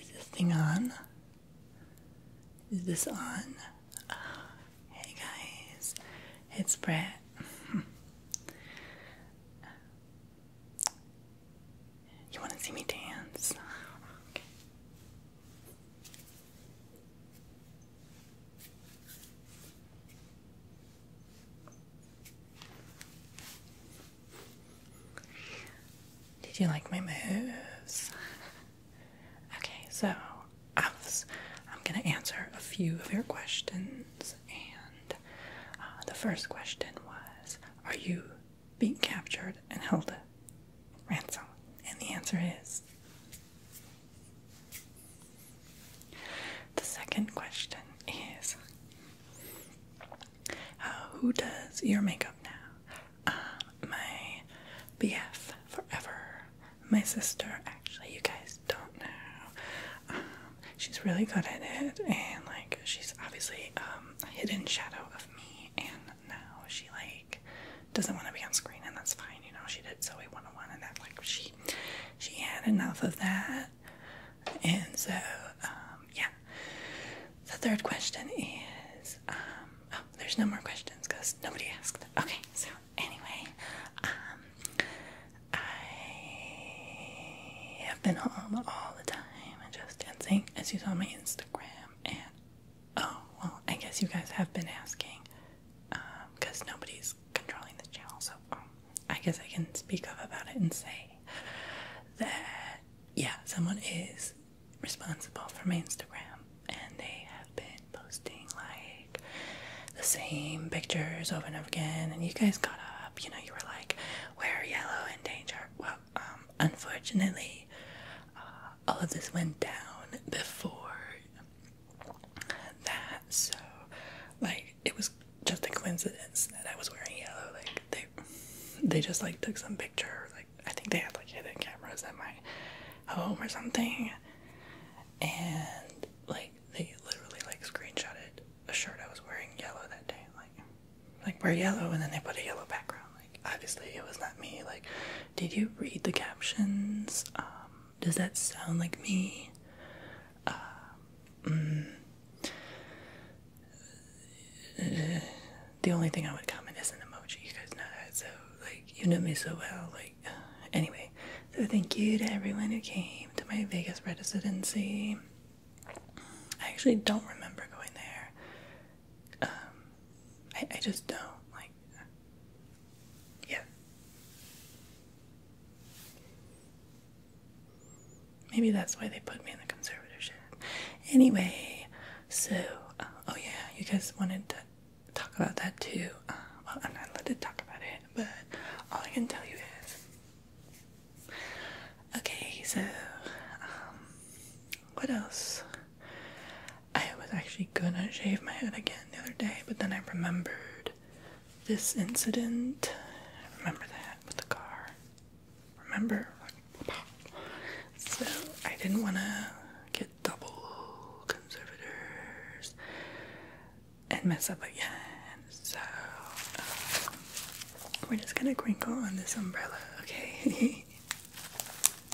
Is this thing on? Is this on? hey guys, it's Brett. you want to see me dance? Did you like my moves? Okay, so I am going to answer a few of your questions. And uh, the first question was Are you being captured and held ransom? And the answer is the second question is uh, Who does your makeup now? Uh, my BF forever. My sister, actually, you guys don't know. Um, she's really good at it, and like, she's obviously um, a hidden shadow of me, and now she like doesn't want to be on screen, and that's fine, you know. She did Zoe 101, and that like she she had enough of that. And so, um, yeah. The third question is, um, oh, there's no more questions because nobody asked. Okay, so anyway, um, I have been home all the time and just dancing, as you saw on my Instagram. And oh, well, I guess you guys have been asking because um, nobody's controlling this channel. So um, I guess I can speak up about it and say that yeah, someone is responsible for my Instagram, and they have been posting like the same pictures over and over again. And you guys got up, you know, you were like, "We're yellow in danger." Well, um, unfortunately, uh, all of this went down before that, so like it was just a coincidence that I was wearing yellow. Like they, they just like took some picture. Like I think they had like hidden cameras at my home or something, and like they literally like screenshotted a shirt I was wearing yellow that day. Like, like wear yellow, and then they put a yellow background. Like obviously it was not me. Like, did you read the captions? Um, does that sound like me? Uh, mm. the only thing I would comment is an emoji. You guys know that, so like you know me so well. Like anyway, so thank you to everyone who came to my Vegas residency. I actually don't remember going there. Um, I, I just don't like. Yeah. Maybe that's why they put me in the conservatorship. Anyway, so, uh, oh yeah, you guys wanted to talk about that too. Uh, well, I'm not allowed to talk about it, but all I can tell you is. Okay, so, um, what else? I was actually gonna shave my head again the other day, but then I remembered this incident. I remember that with the car. Remember? So I didn't wanna get double conservators and mess up again. So um, we're just gonna crinkle on this umbrella, okay?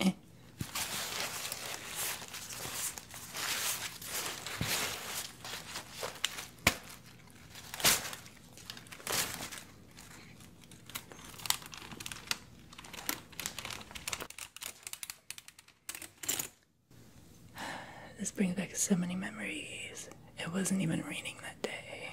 Eh. This brings back so many memories. It wasn't even raining that day.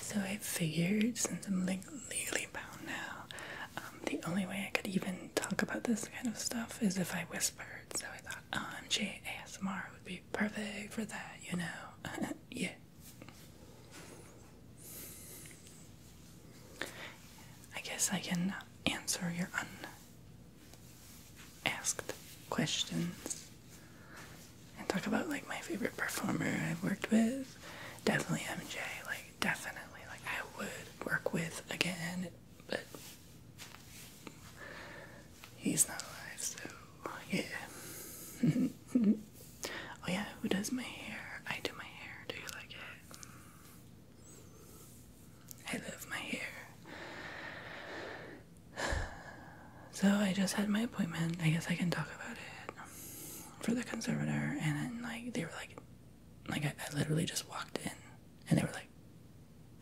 So I figured since I'm like legally bound now, um, the only way I could even talk about this kind of stuff is if I whispered. So I thought OMG oh, ASMR would be perfect for that, you know? yeah. I guess I can answer your unasked questions and talk about like my favorite performer I've worked with, definitely MJ. Like definitely, like I would work with again, but he's not alive, so yeah. oh yeah, who does my hair? I do my hair. Do you like it? I love my hair. So I just had my appointment. I guess I can talk about it for the conservator. And then like they were like, like I, literally just walked in, and they were like,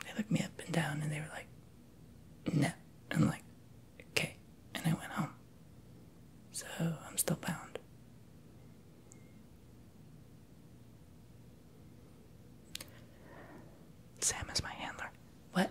they looked me up and down, and they were like, no. I'm like, okay. And I went home. So I'm still bound. Sam is my handler. What?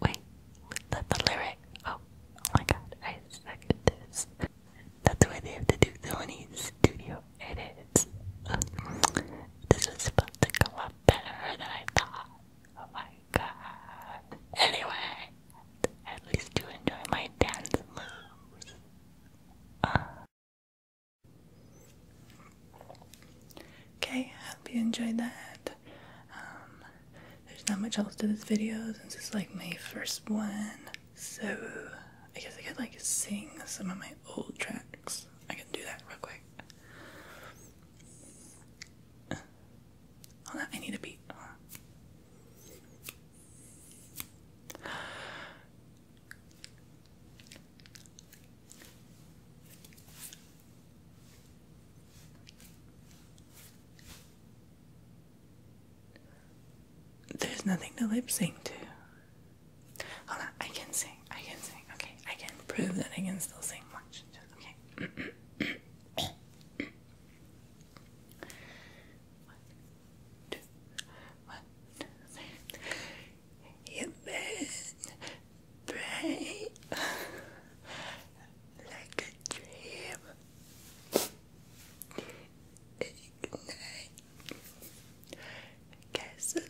Wait, let the lyric. Oh, oh my god, I second this. That's the way they have to do the only studio edits. This was supposed to come up better than I thought. Oh my god. Anyway, at least you enjoy my dance moves. Okay, I hope you enjoyed that. Um, there's not much else to this video since it's like my first one, so I guess I could like sing some of my old tracks. I can do that real quick. I need a beat. There's nothing to lip sync to. Hold on, I can sing. I can sing. Okay, I can prove that I can still sing much. Okay brain like a dream. Ignite gasoline.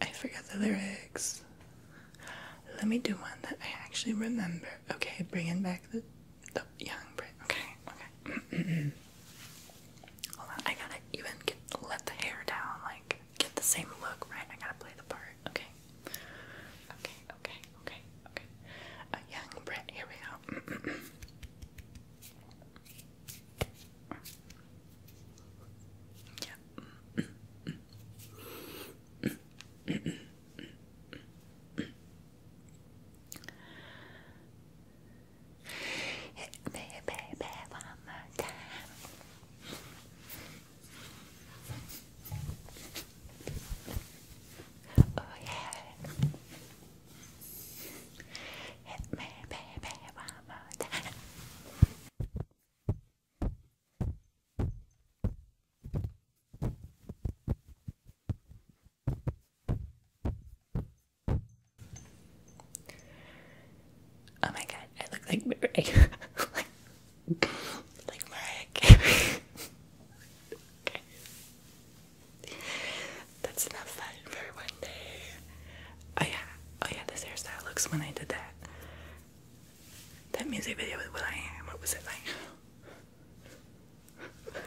I forgot the lyrics. Let me do one that I actually remember. Okay, bringing back the the young brain. Okay, okay. I gotta even get let the hair down, like get the same look, right? I gotta play the part. Okay. Okay, okay, okay, okay. A young Brit, here we go. yeah. Hit me, baby, one more time. Oh yeah. Hit me, baby, one more time. Oh my god, I look like Mariah. like, like That's enough fun for one day. Oh yeah, oh yeah, this hairstyle looks when I did that. That music video with Will I Am, what was it like?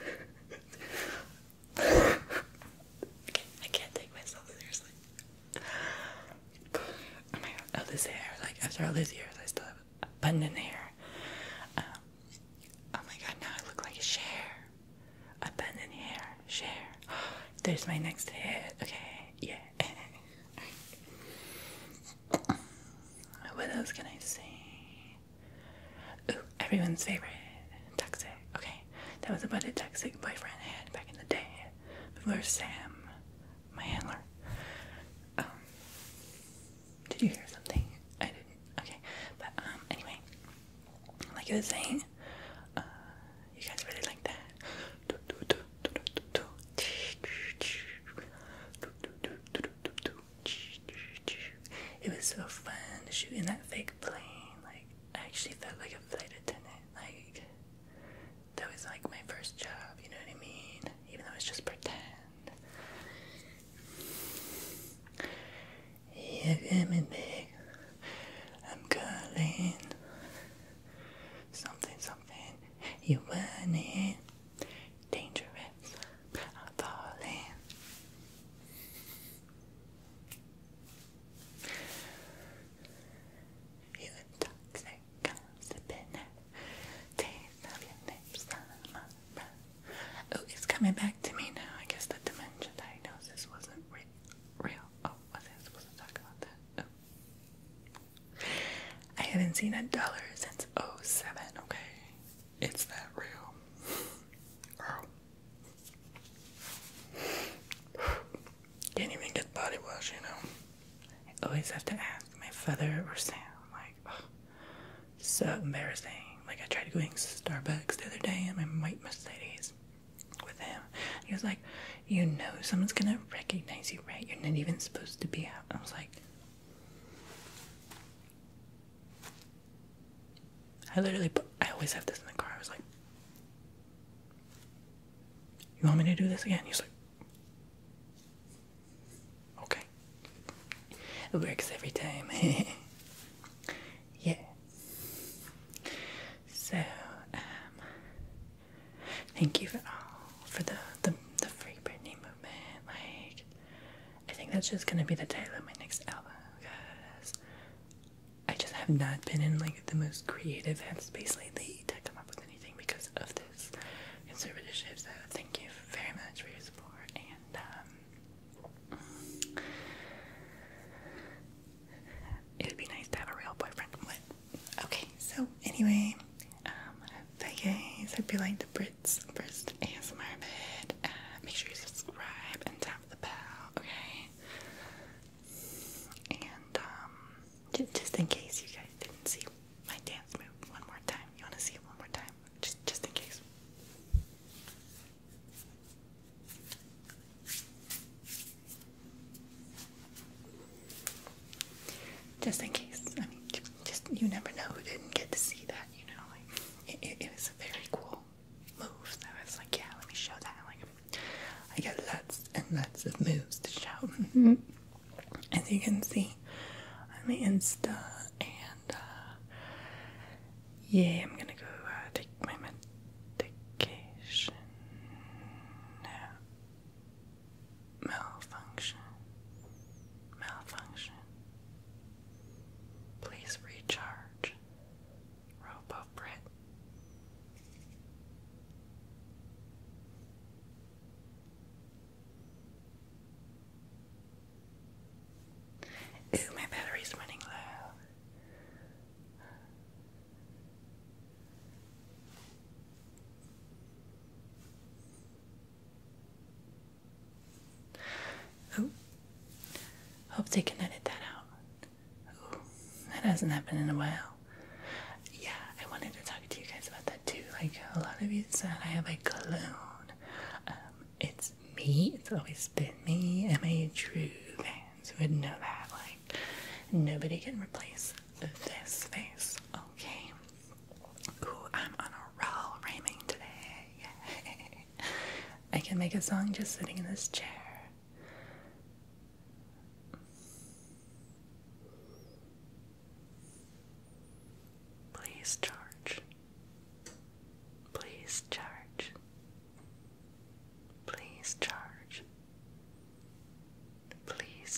I can't take myself seriously. Oh my god! Oh, this hair! Like after all these years, I still have abundant hair. Um, oh my god! Now I look like a share. Abundant hair, share. There's my next hit. Okay, yeah. what else can I say? Ooh, everyone's favorite. Toxic. Okay, that was about a toxic boyfriend I had back in the day. Before Sam, my handler. Um, did you hear something? I didn't. Okay, but um, anyway, like I was saying, uh, you guys really like that. It was so fun shooting that fake plane. Like I actually felt like a flight attendant. Like that was like my first job. You know what I mean? Even though it's just pretend. Yeah, coming big. I'm calling. Something, something. You want it? dangerous. I'm falling. You toxic, gossiping taste of your lips my breath. Oh, it's coming back to me now. I guess the dementia diagnosis wasn't real. Oh, was I supposed to talk about that? Oh. I haven't seen a dollar since 07, okay? It's that real. Ow. Can't even get body wash, you know. I always have to ask my father or Sam. Like, so embarrassing. Like, I tried going to Starbucks the other day in my white Mercedes with him. He was like, You know, someone's gonna recognize you, right? You're not even supposed to be out. I was like, I literally, I always have this in the car. I was like, "You want me to do this again?" He's like, "Okay." It works every time. yeah. So, um, thank you for all for the the the free Britney movement. Like, I think that's just gonna be the title of my next album because I just have not been in like the most creative headspace lately to come up with anything because of this conservatorship. So thank you very much for your support and um it would be nice to have a real boyfriend. What? Okay, so anyway, um, but guys, hope you like the Brits first ASMR vid. Uh, make sure you subscribe and tap the bell, okay? And um, just, just in case you guys didn't see my dance move one more time, you want to see it one more time, just just in case just in case. I mean, just you never know who didn't get to see that. You know, like it, was a very cool move. So I was like, yeah, let me show that. Like, I got lots and lots of moves to show. Mm-hmm. As you can see on my Insta, and uh, yeah, I'm gonna go uh, take my medication now malfunction, malfunction. Please recharge, RoboBrit. Ooh, my battery's running low. Ooh. Hope they can edit that out. that hasn't happened in a while. Yeah, I wanted to talk to you guys about that too. Like a lot of you said, I have a clone. Um, it's me. It's always been me. I'm a true fan. fans would know that. Like nobody can replace this face. Okay. Ooh, I'm on a roll rhyming today. I can make a song just sitting in this chair. Please charge. Please charge. Please charge. Please